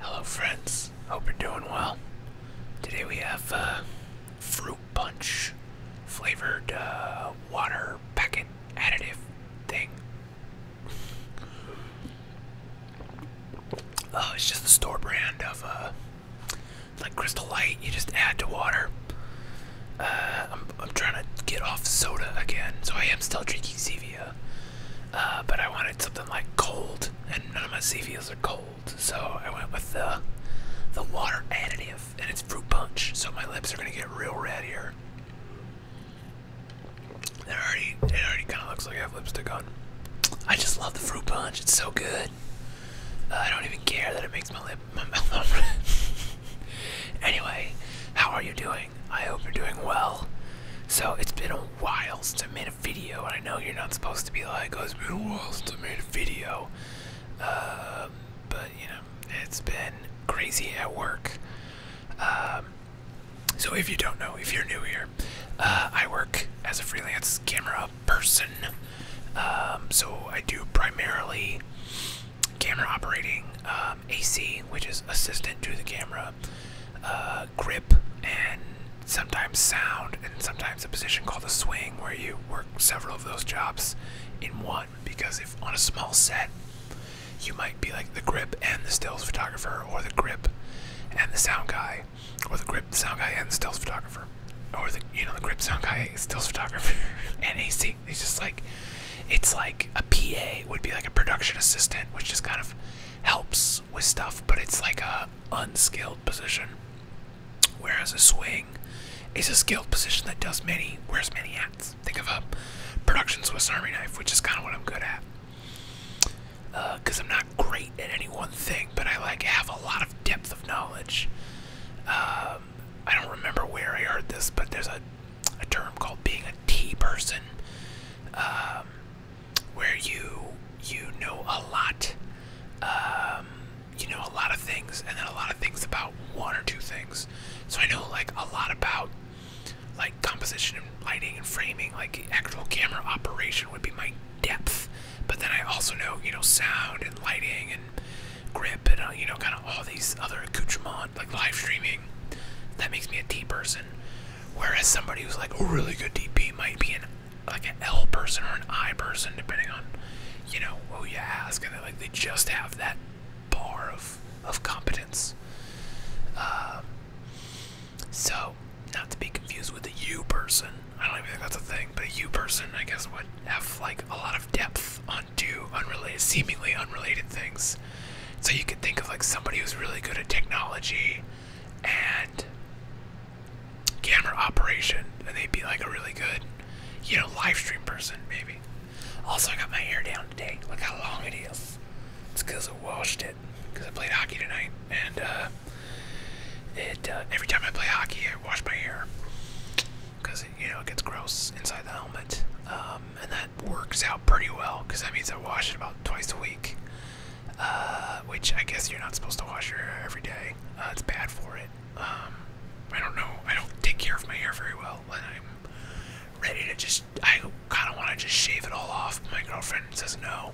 Hello, friends. Hope you're doing well. Today we have uh, fruit punch flavored uh, water packet additive thing. Oh, it's just the store brand of uh, like Crystal Light. You just add to water. I'm, trying to get off soda again, so I am still drinking Zevia. Uh, but I wanted something like cold, and none of my CVs are cold, so I went with the the water additive, and it's fruit punch. So my lips are gonna get real red here. It already it already kind of looks like I have lipstick on. I just love the fruit punch. It's so good. Uh, I don't even care that it makes my lip my anyway, how are you doing? I hope you're doing well. So it's been a while since I made a video, and I know you're not supposed to be like, oh, it's been a while since I made a video. Um, but, you know, it's been crazy at work. Um, so if you don't know, if you're new here, uh, I work as a freelance camera person. Um, so I do primarily camera operating, AC, which is assistant to the camera, um, uh, grip and sometimes sound and sometimes a position called a swing where you work several of those jobs in one because if on a small set you might be like the grip and the stills photographer or the grip and the sound guy or the grip sound guy and stills photographer or the you know the grip sound guy stills photographer and AC it's just like it's like a PA would be like a production assistant which just kind of helps with stuff, but it's like a unskilled position. Whereas a swing is a skilled position that does many, wears many hats. Think of a production Swiss Army knife, which is kind of what I'm good at. Because uh, I'm not great at any one thing, but I like have a lot of depth of knowledge. Um, I don't remember where I heard this, but there's a, a term called being a T person. Um, where you you know a lot, um, you know a lot of things, and then a lot of things about one or two things. So I know like a lot about like composition and lighting and framing, like actual camera operation would be my depth. But then I also know you know sound and lighting and grip and uh, you know kind of all these other accoutrements like live streaming. That makes me a tea person. Whereas somebody who's like a really good DP might be an like an L person or an I person, depending on you know who you ask, and like they just have that bar of of competence. Um, so not to be confused with a U person. I don't even think that's a thing, but a U person, I guess, would have like a lot of depth on two seemingly unrelated things. So you could think of like somebody who's really good at technology and camera operation, and they'd be like a really good, you know, live stream person maybe. Also, I got my hair down today. Look how long it is. It's because I washed it. Because I played hockey tonight, and uh, it uh, every time I play hockey, I wash my hair because you know it gets gross inside the helmet. Um, and that works out pretty well because that means I wash it about twice a week. Uh, which I guess you're not supposed to wash your hair every day. Uh, it's bad for it. Um, I don't know. I don't take care of my hair very well, I'm ready to just. I kind of want to just shave it all off. My girlfriend says no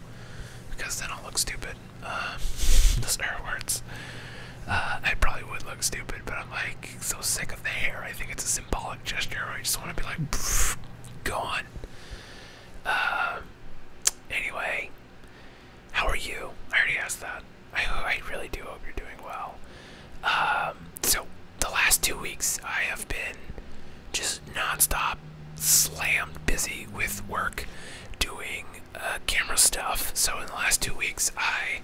because then I'll look stupid. Um, those are words. Uh, I probably would look stupid, but I'm like so sick of the hair. I think it's a symbolic gesture. I just want to be like, pff, gone. Um, anyway, how are you? I already asked that. I, I really do hope you're doing well. Um, so, the last two weeks, I have been just nonstop, slammed busy with work doing uh, camera stuff. So, in the last two weeks, I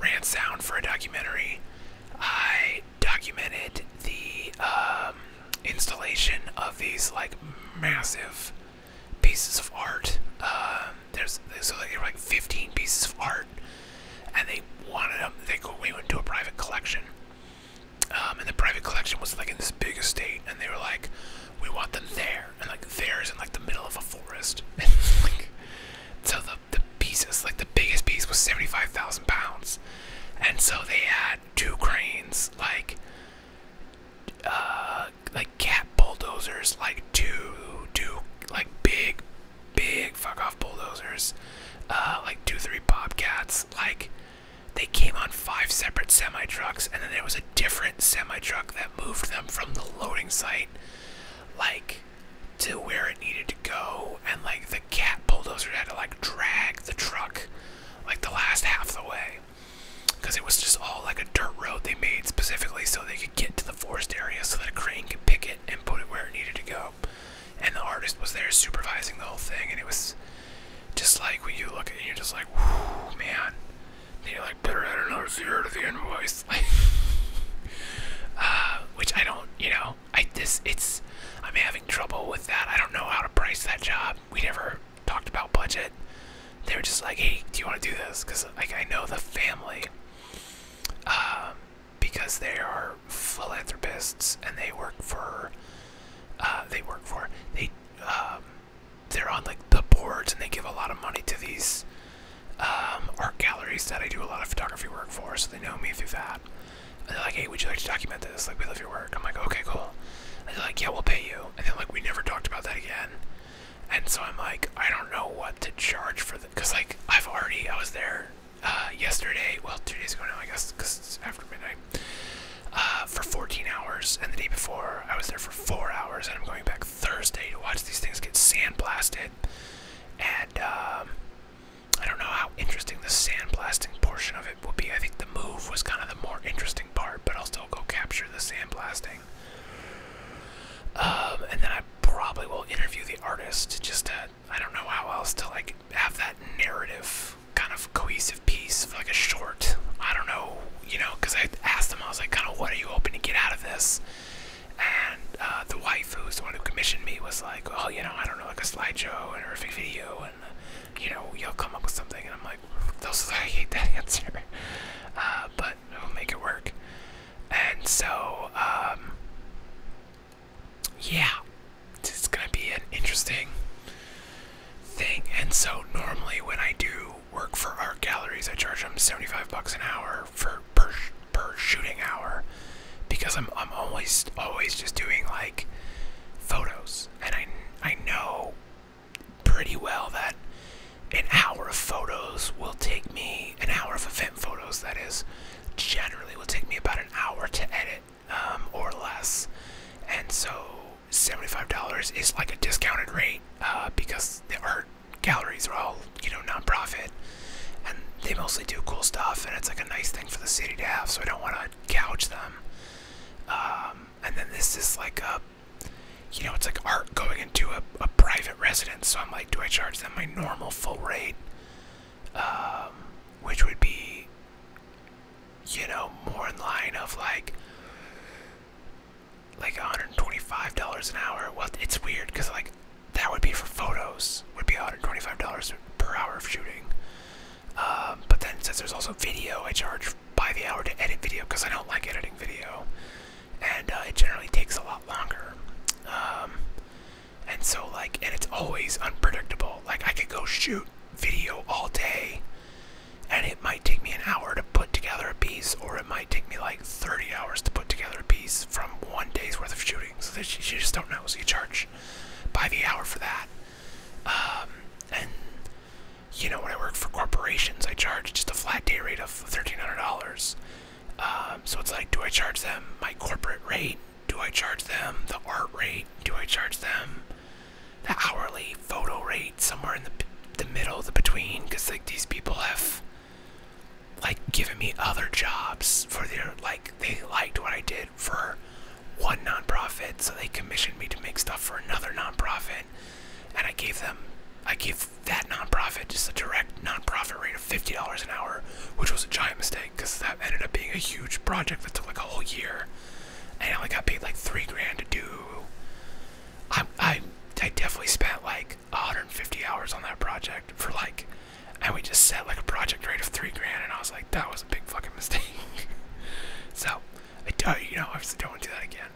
ran sound for a documentary. I documented the um, installation of these like massive pieces of art. Um, there's so there were like 15 pieces of art, and they wanted them. They go, we went to a private collection, um, and the private collection was like in this big estate, and they were like, we want them there, and like theirs in like the middle of a forest. And like, so the the pieces, like the biggest piece was 75,000 pounds and so they had two cranes, like uh, like cat bulldozers, like two two like big big fuck off bulldozers, uh, like two three bobcats, like. They came on five separate semi trucks, and then there was a different semi truck that moved them from the loading site, like to where it needed to go. And like cat bulldozer had to like drag the truck like the last half of the way because it was just all like a dirt road they made specifically so they could get to the forest area so that a crane could pick it and put it where it needed to go and the artist was there supervising the whole thing and it was just like when you look at it you're just like whoo man and you're like better add another zero to the invoice like uh, which i don't you know I this it's I'm having trouble with that. I don't know how to price that job. We never talked about budget. They were just like, "Hey, do you want to do this?" Because like I know the family, um, because they are philanthropists and they work for, uh, they work for they, um, they're on like the boards and they give a lot of money to these um, art galleries that I do a lot of photography work for, so they know me through that they're like, hey, would you like to document this? Like, we love your work. I'm like, okay, cool. they're like, yeah, we'll pay you. And then, like, we never talked about that again. And so I'm like, I don't know what to charge for the, cause like I've already, I was there uh, yesterday, well, two days ago now, I guess, cause it's after midnight, uh, for 14 hours. And the day before I was there for four hours and I'm going back Thursday to watch these things get sandblasted. And, um, I don't know how interesting the sandblasting portion of it will be. I think the move was kind of the more interesting part, but I'll still go capture the sandblasting. Um, and then I probably will interview the artist just to, I don't know how else to like have that narrative kind of cohesive piece of like a short. I don't know, you know, because I asked them, I was like, kind of, what are you hoping to get out of this? And, uh, uh, the wife who was the one who commissioned me was like, "Oh, you know, I don't know, like a slideshow or a video, and you know, you'll come up with something. And I'm like, those, I hate that answer, uh, but we'll make it work. And so, um, yeah, it's gonna be an interesting thing. And so, normally when I do work for art galleries, I charge them 75 bucks an hour for per per shooting hour because I'm I'm always always just doing like photos and I I know pretty well that an hour of photos will take me an hour of event photos that is generally will take me about an hour to edit um, or less and so $75 is like a discounted rate uh, because the art galleries are all you know nonprofit and they mostly do cool stuff, and it's like a nice thing for the city to have. So I don't want to couch them. Um, and then this is like a, you know, it's like art going into a, a private residence. So I'm like, do I charge them my normal full rate, um, which would be, you know, more in line of like like $125 an hour well it's weird because like that would be for photos, would be $125 per hour of shooting. Um, but then since there's also video, I charge by the hour to edit video because I don't like editing video, and uh, it generally takes a lot longer. Um, and so like, and it's always unpredictable. Like I could go shoot video all day, and it might take me an hour to put together a piece, or it might take me like 30 hours to put together a piece from one day's worth of shooting. So that you just don't know. So you charge much by the hour for that. Um, and you know, when I work for corporations, I charge just a flat day rate of $1,300. Um, so it's like, do I charge them my corporate rate? Do I charge them the art rate? Do I charge them the hourly photo rate somewhere in the the middle, the between? Because like these people have like giving me other jobs for their like they liked what I did for one nonprofit, so they commissioned me to make stuff for another nonprofit, and I gave them I gave that nonprofit just a direct nonprofit rate of fifty dollars an hour, which was a giant mistake because that ended up being a huge project that took like a whole year, and I only got paid like three grand to do. I I I definitely spent like 150 hours on that project for like and we just set like a project rate of three grand, and I was like, that was a big fucking mistake. so, I do, not you know, obviously don't want to do that again.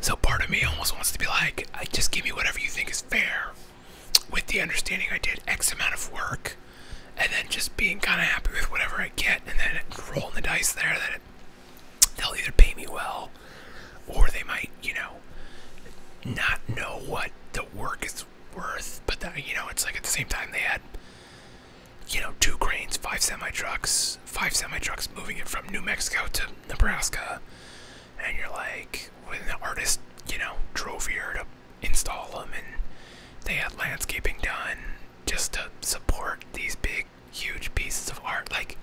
So part of me almost wants to be like, I just give me whatever you think is fair, with the understanding I did X amount of work, and then just being kind of happy with whatever I get, and then rolling the dice there that they'll either pay me well or they might, you know, not know what the work is worth, but you know, it's like at the same time they had, you know, two cranes, five semi trucks, five semi trucks moving it from New Mexico to Nebraska, and you're like, when the artist, you know, drove here to install them, and they had landscaping done just to support these big, huge pieces of art. Like,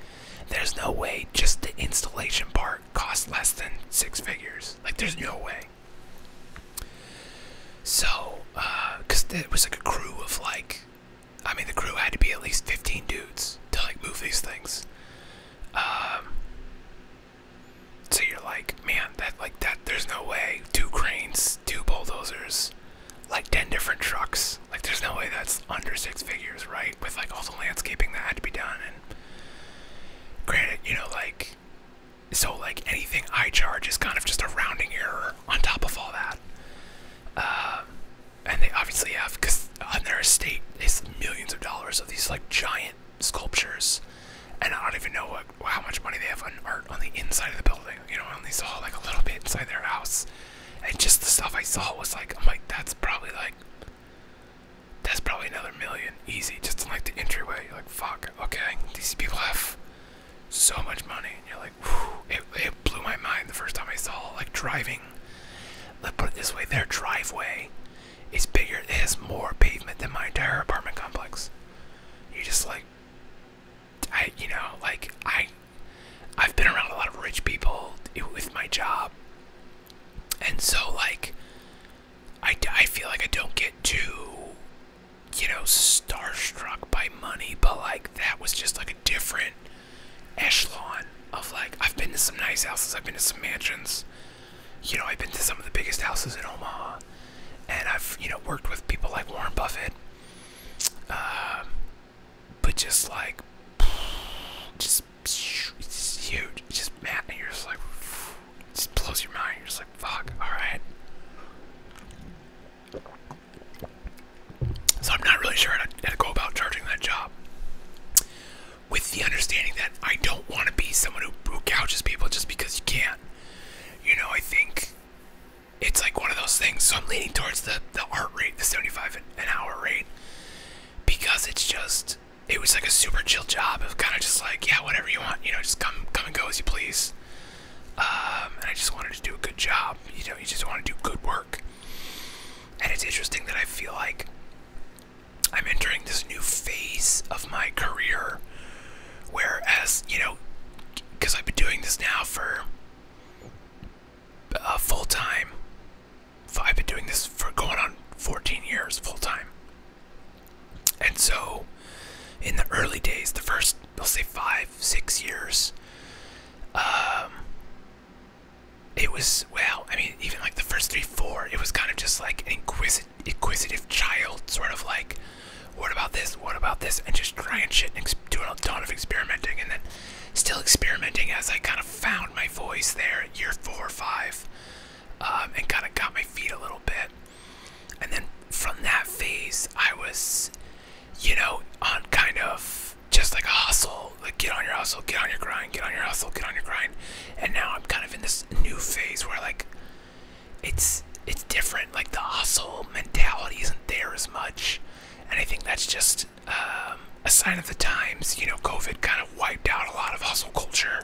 there's no way just the installation part cost less than six figures. Like there's no way. So, uh, cause it was like a crew of like, I mean the crew had to be at least 15 dudes to like move these things. Um, so you're like, man, that like that, there's no way. Two cranes, two bulldozers, like 10 different trucks. Like there's no way that's under six figures, right? with like all the landscaping that had to be done and granted you know like so like anything i charge is kind of just a rounding error on top of all that uh, and they obviously have because on their estate is millions of dollars of these like giant sculptures and i don't even know what, how much money they have on art on the inside of the building you know i only saw like a little bit inside their house and just the stuff i saw was like i'm like that's probably like that's probably another million. Easy, just like the entryway. You're like, fuck, okay. These people have so much money. you're like, It, blew my mind the first time I saw, like, driving. Let's put it this way their driveway is bigger, it has more pavement than my entire apartment complex. You just like, I, you know, like, I. I've been around a lot of rich people with my job, and so, like, I, I feel like I don't get too, you know, starstruck by money, but, like, that was just, like, a different echelon of, like, I've been to some nice houses, I've been to some mansions, you know, I've been to some of the biggest houses in Omaha, and I've, you know, worked with people like Warren Buffett, um, but just like just it's just man you're just like just blows your mind you're just like fuck all right so i'm not really sure how to, go about charging that job with the understanding that i don't want to be someone who, who couches people just because you can't you know i think it's like one of those things so i'm leaning towards the the art rate the 75 an hour rate because it's just it was like a super chill job of kind of just like yeah whatever you want you know just come come and go as you please um, and I just wanted to do a good job you know you just want to do good work and it's interesting that I feel like I'm entering this new phase of my career whereas you know because I've been doing this now for a uh, full time I've been doing this for going on 14 years full time. And so, in the early days, the 1st let let's say five, six years, um, it was, well, I mean, even like the first three, four, it was kind of just like an inquisitive, inquisitive child, sort of like, what about this? What about this? And just trying shit and doing a ton of experimenting. And then Still experimenting as I kind of found my voice there year four or five um, and kind of got my feet a little bit. And then from that phase, I was, you know, on kind of just like a hustle, like get on your hustle, get on your grind, get on your hustle, get on your grind. And now I'm kind of in this new phase where like it's it's different. Like the hustle mentality isn't there as much. And I think that's just um, a sign of the times. You know, COVID kind of wiped out a lot of hustle culture,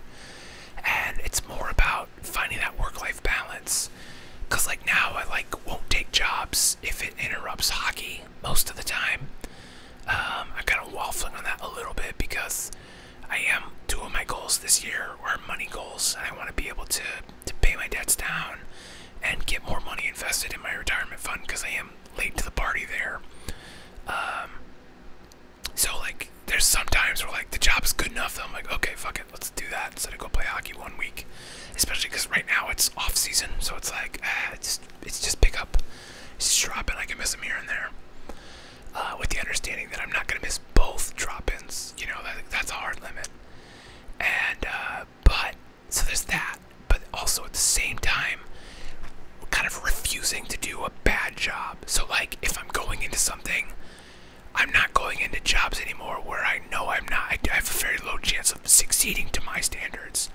and it's more about finding that work-life balance. Cause like now, I like won't take jobs if it interrupts hockey most of the time. Um, i kind of waffling on that a little bit because I am two of my goals this year are money goals, and I want to be able to to pay my debts down and get more money invested in my retirement fund because I am late to the party there. Um, so like, there's sometimes where like the job's good enough that I'm like, okay, fuck it, let's do that instead of go play hockey one week. Especially because right now it's off season, so it's like, ah, it's just, it's just pick up, it's just drop in. I can miss them here and there, uh, with the understanding that I'm not gonna miss both drop-ins. You know, that's a hard limit. And uh, but so there's that, but also at the same time, kind of refusing to do a bad job. So, like, if I'm going into something, I'm not going into jobs anymore where I know I'm not, I have a very low chance of succeeding to my standards.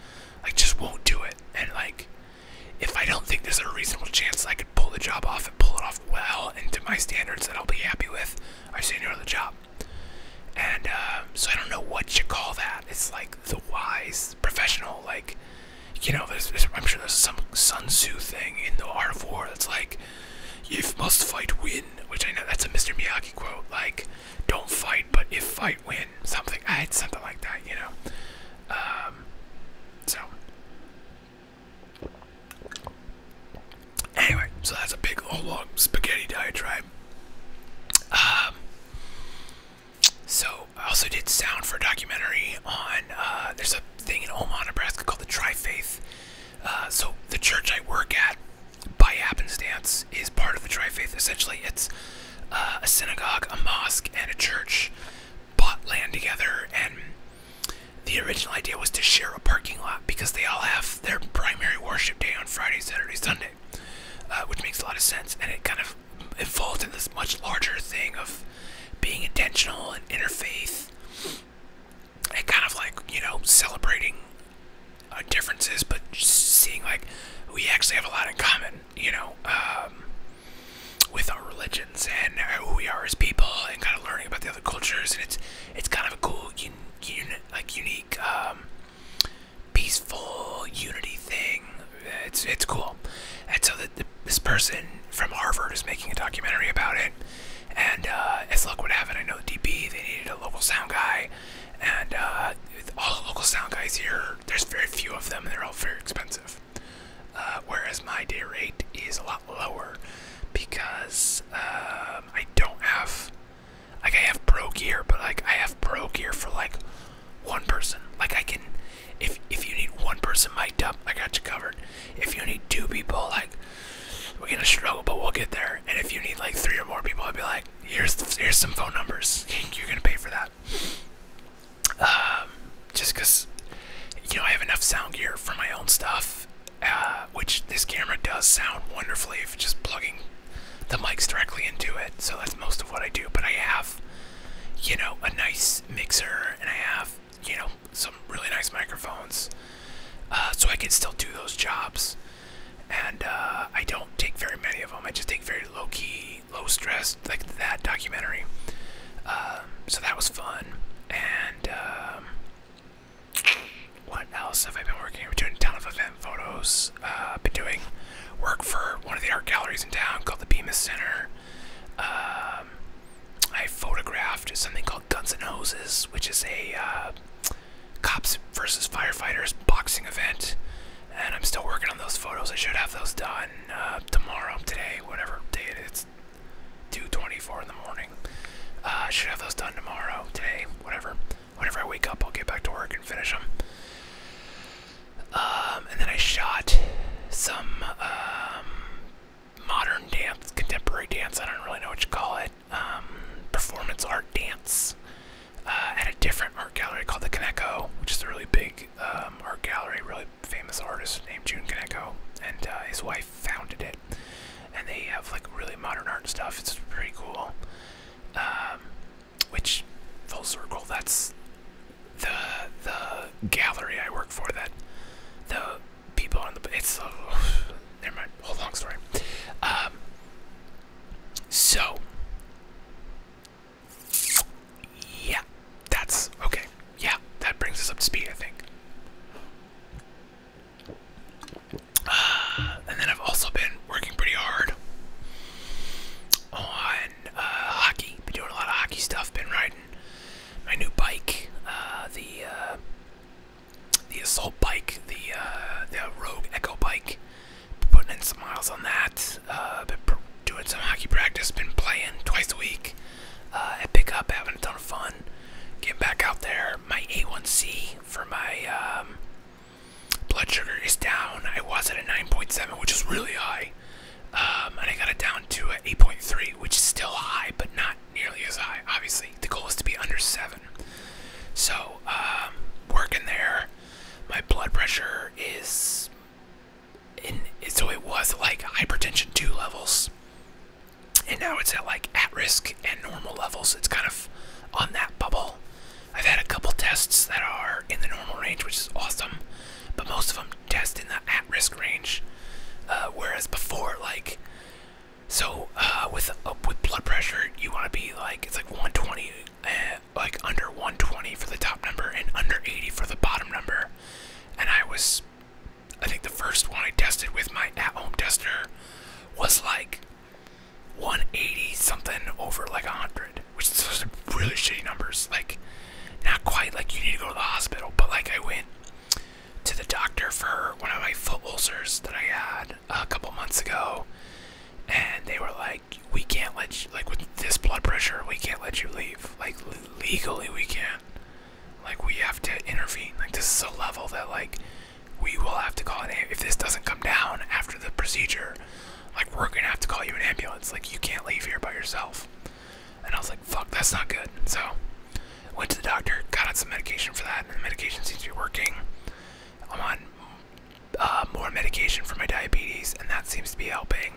I just won't do it. And, like, if I don't think there's a reasonable chance I could pull the job off and pull it off well and to my standards that I'll be happy with, I just need the job. And uh, so I don't know what to call that. It's like the wise professional like you know there's, i'm sure there's some sun tzu thing in the art of war that's like if must fight win which i know that's a mr miyagi quote like don't fight but if fight win something i had something like that you know um, so anyway so that's a big long spaghetti diatribe um, so I also did sound for a documentary on. Uh, there's a thing in Omaha, Nebraska called the Tri Faith. Uh, so the church I work at, by happenstance, is part of the Tri Faith. Essentially, it's uh, a synagogue, a mosque, and a church bought land together. And the original idea was to share a parking lot because they all have their primary worship day on Friday, Saturday, Sunday. Uh, which makes a lot of sense. And it kind of evolved into this much larger thing of being intentional and interfaith and kind of like, you know, celebrating uh, differences, but seeing like we actually have a lot in common, you know, um, with our religions and who we are as people and kind of learning about the other cultures. And it's, it's kind of a cool, un, like unique, um, peaceful unity thing. It's it's cool. And so the, this person from Harvard is making a documentary about it. And as uh, luck would have it, I know DB they needed a local sound guy, and uh, all the local sound guys here. There's very few of them, and they're all very expensive. Uh, whereas my day rate is a lot lower because um, I don't have like I have pro gear, but like I have pro gear for like one person. Like I can, if if you need one person mic'd up, I got you covered. If you need two people, like we're gonna struggle, but we'll get there. And if you need like three or more people, I'd be like, here's here's some phone numbers. You're gonna pay for that. Um, just cause you know I have enough sound gear for my own stuff, uh, which this camera does sound wonderfully. If just plugging the mic's directly into it, so that's most of what I do. But I have, you know, a nice mixer and I have, you know, some really nice microphones, uh, so I can still do those jobs. And uh, I don't take very many of them. I just take very low key, low stress, like that documentary. Um, so that was fun. And um, what else have I been working? We're doing a ton of events and photos. Uh, been doing work for one of the art galleries in town called the Bemis Center. Um, I photographed something called Guns and Hoses, which is a uh, cops versus firefighters boxing event. And I'm still working on those photos. I should have those done uh, tomorrow, today, whatever day it is. 2:24 in the morning. Uh, I should have those done tomorrow, today, whatever. Whenever I wake up, I'll get back to work and finish them. Um, and then I shot some um, modern dance, contemporary dance, I don't really know what you call it, um, performance art dance uh, at a different art gallery called the Kaneko, which is a really big art gallery, really famous artist named June Kaneko, and uh, his wife founded it. And they have like really modern art stuff, it's pretty cool which full circle that's the the gallery I work for that the people on the it's uh, never mind whole long story um so yeah that's okay yeah that brings us up to speed I think uh, and then I've also been working pretty hard on uh, hockey. Been doing a lot of hockey stuff. Been riding my new bike, uh, the uh, the assault bike, the the Rogue Echo bike. Been putting in some miles on that. been doing some hockey practice. Been playing twice a week uh, at pickup. Having a ton of fun. Getting back out there. My A1C for my um, Blood sugar is down. I was at a 9.7, which is really high. Um, and I got it down to 8.3, which is still high, but not nearly as high, obviously. The goal is to be under 7. So, um, working there, my blood pressure is. In, so it was like hypertension 2 levels. And now it's at like at risk and normal levels. It's kind of on that bubble. I've had a couple tests that are in the normal range, which is awesome, but most of them test in the at risk range. Uh, whereas before, like, so uh, with uh, with blood pressure, you want to be like it's like 120, like under 120 for the top number and under 80 for the bottom number. And I was, I think the first one I tested with my at home tester was like 180 something over like 100, which is really shitty numbers. Like, not quite like you need to go to the hospital, but like I went to the doctor for one of my foot ulcers that I had a couple months ago, and they were like, "We can't let you like with this blood pressure, we can't let you leave. Like legally, we can't. Like we have to intervene. Like this is a level that like." we will have to call an if this doesn't come down after the procedure like we're gonna have to call you an ambulance like you can't leave here by yourself and i was like fuck that's not good so went to the doctor got on some medication for that and the medication seems to be working i'm on uh, more medication for my diabetes and that seems to be helping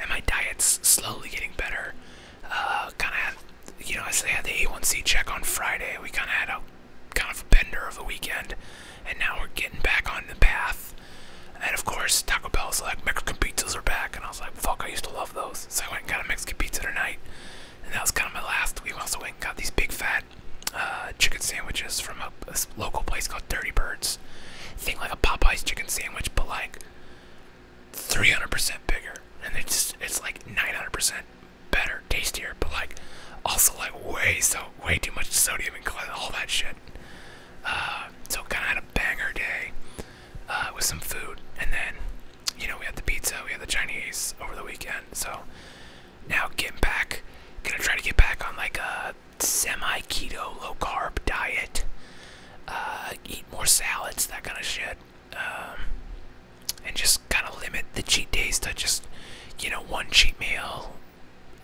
and my diet's slowly getting better uh, kind of you know i had the a1c check on friday we kind of had a kind of a bender of the weekend, and now we're getting back on the path. And of course, Taco Bell's like, Mexican pizzas are back. And I was like, fuck, I used to love those. So I went and got a Mexican pizza tonight. And that was kind of my last. We also went and got these big fat uh, chicken sandwiches from a, local place called Dirty Birds. Thing like a Popeye's chicken sandwich, but like 300% bigger. And it's, just, it's like 900% better, tastier, but like also like way so way too much sodium and all that shit. Uh, so kind of had a banger day uh, with some food, and then you know we had the pizza, we had the Chinese over the weekend. So now getting back, gonna try to get back on like a semi keto, low carb diet. Uh, eat more salads, that kind of shit. Um, and just kind of limit the cheat days to just, you know, one cheat meal,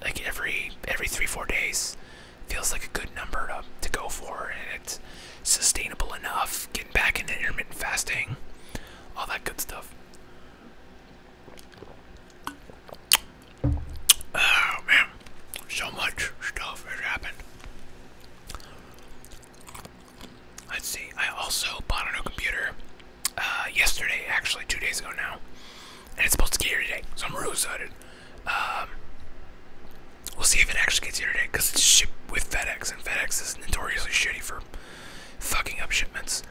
like every every three four days feels like a good number to, to go for and it's sustainable enough getting back into intermittent fasting all that good stuff oh man so much stuff has happened let's see i also bought a new computer uh, yesterday, actually, two days ago now. And it's supposed to get here today, so I'm really excited. Um, we'll see if it actually gets here today, because it's shipped with FedEx, and FedEx is notoriously shitty for fucking up shipments.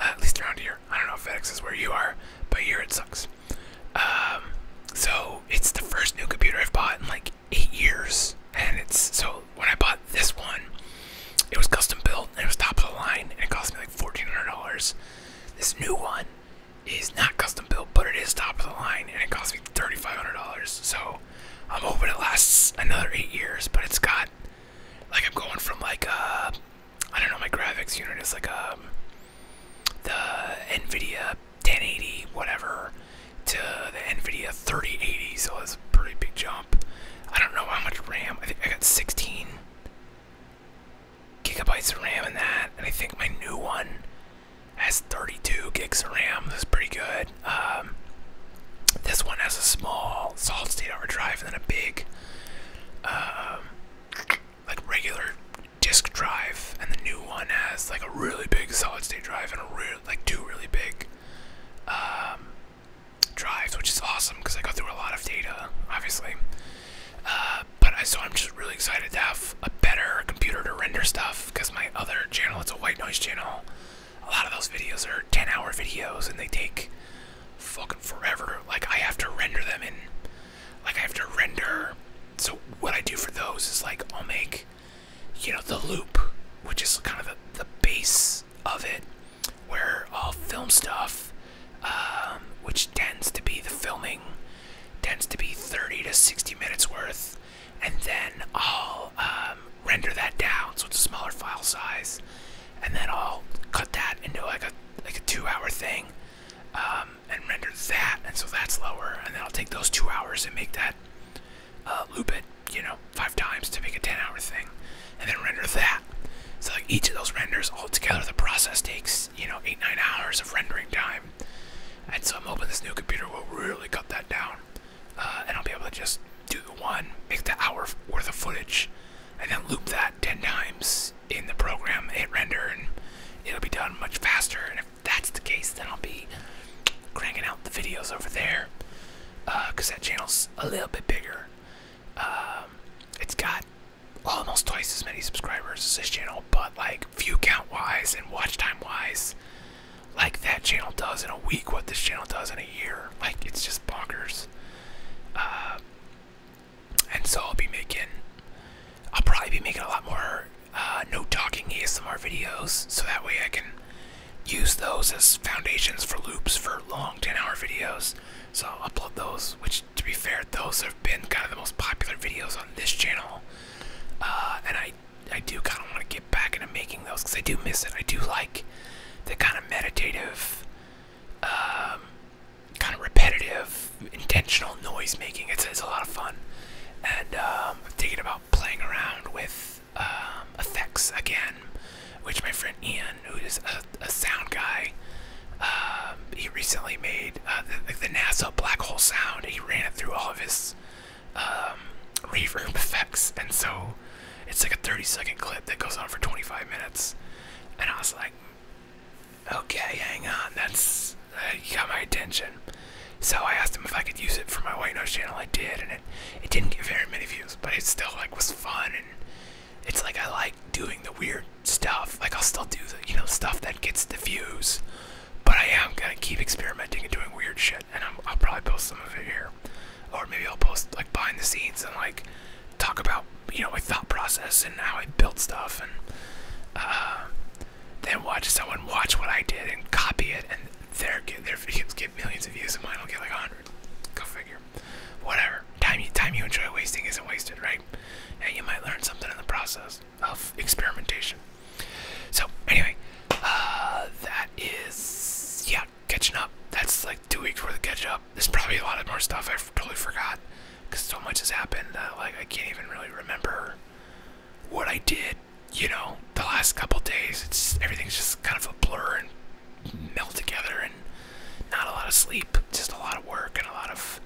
Uh, at least around here. I don't know if FedEx is where you are, but here it sucks. Um, so it's the first new computer I've bought in like eight years, and it's so when I bought this one. It was custom built and it was top of the line and it cost me like $1,400. This new one is not custom built, but it is top of the line and it cost me $3,500. So I'm hoping it lasts another eight years, but it's got like I'm going from like a, uh, I don't know, my graphics unit is like a, um, the NVIDIA 1080, whatever, to the NVIDIA 3080. So it's pretty big jump. I don't know how much RAM. I think I got 16 gigabytes of RAM in that, and I think my new one has 32 gigs of RAM. That's pretty good. Um, this one has a small solid state hard drive and then a big, um, like regular disk drive, and the new one has like a really big solid state drive and a really like two really big um, drives, which is awesome because I go through a lot of data, obviously. Uh, but so I'm just really excited to have a better computer to render stuff because my other channel, it's a white noise channel. A lot of those videos are 10 hour videos and they take fucking forever. Like I have to render them in, like I have to render. So what I do for those is like I'll make, you know, the loop, which is kind of the, the base of it where I'll film stuff, um, which tends to be the filming, tends to be 30 to 60 minutes worth, and then I'll um, render that down so it's a smaller file size, and then I'll cut that into like a like a two-hour thing, um, and render that, and so that's lower, and then I'll take those two hours and make that uh, loop it, you know, five times to make a 10 hour thing and then render that. So, like, each of those renders all together, the process takes, you know, eight, nine hours of rendering time. And so, I'm hoping this new computer will really cut that down. Uh, and I'll be able to just do the one, make the hour worth of footage, and then loop that 10 times in the program, hit render, and it'll be done much faster. And if that's the case, then I'll be cranking out the videos over there because uh, that channel's a little bit bigger. Um, it's got almost twice as many subscribers as this channel, but like view count wise and watch time wise, like that channel does in a week, what this channel does in a year. Like it's just bonkers. Uh, and so I'll be making, I'll probably be making a lot more uh, no talking ASMR videos so that way I can use those as foundations for loops for long 10 hour videos. So I'll upload those, which to be fair, those have been kind of the most popular videos on this channel. Uh, and I, I do kind of want to get back into making those because I do miss it. I do like the kind of meditative, um, kind of repetitive, intentional noise making. It's, it's a lot of fun. And um, I'm thinking about playing around with um, effects again, which my friend Ian, who is a, sound guy, um, he recently made uh, the, the NASA black hole sound. He ran it through all of his um, reverb effects, and so it's like a 30 second clip that goes on for 25 minutes. And I was like, okay, hang on, that's uh, got my attention. So I asked him if I could use it for my White Noise channel. I did, and it, it didn't get very many views, but it still like was fun and it's like I like doing the weird stuff. Like I'll still do the you know stuff that gets the views, but I am gonna keep experimenting and doing weird shit. And i will probably post some of it here, or maybe I'll post like behind the scenes and like talk about you know my thought process and how I built stuff and. Uh, then watch someone watch what I did and copy it, and their their videos get millions of views, and mine will get like hundred. Go figure. Whatever. Time you time you enjoy wasting isn't wasted, right? And you might learn something in the process of experimentation. So anyway, uh, that is yeah, catching up. That's like two weeks worth of catch up. There's probably a lot of more stuff I totally forgot because so much has happened that like I can't even really remember what I did. You know, the last couple days, it's everything's just kind of a blur and meld together and not a lot of sleep, just a lot of work and a lot of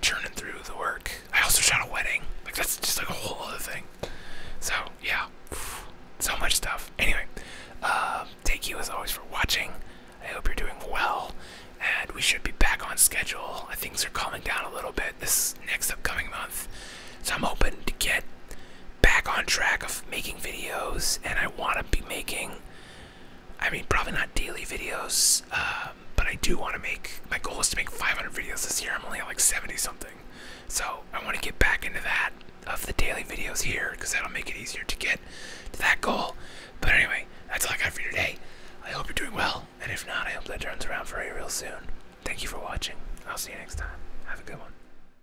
churning through the work. I also shot a wedding. Like that's just like a whole other thing. So yeah, so much stuff. Anyway, um, thank you as always for watching. I hope you're doing well, and we should be back on schedule. Things are calming down a little bit this next upcoming month, so I'm hoping to get back on track of making videos, and I want to be making. I mean, probably not daily videos, um, but I do want to make. My goal is to make 500 videos this year. I'm only at like 70 something, so I want to get back into that of the daily videos here because that'll make it easier to get to that goal. But anyway, that's all I got for today. I hope you're doing well, and if not, I hope that turns around for you real soon. Thank you for watching. I'll see you next time. Have a good one.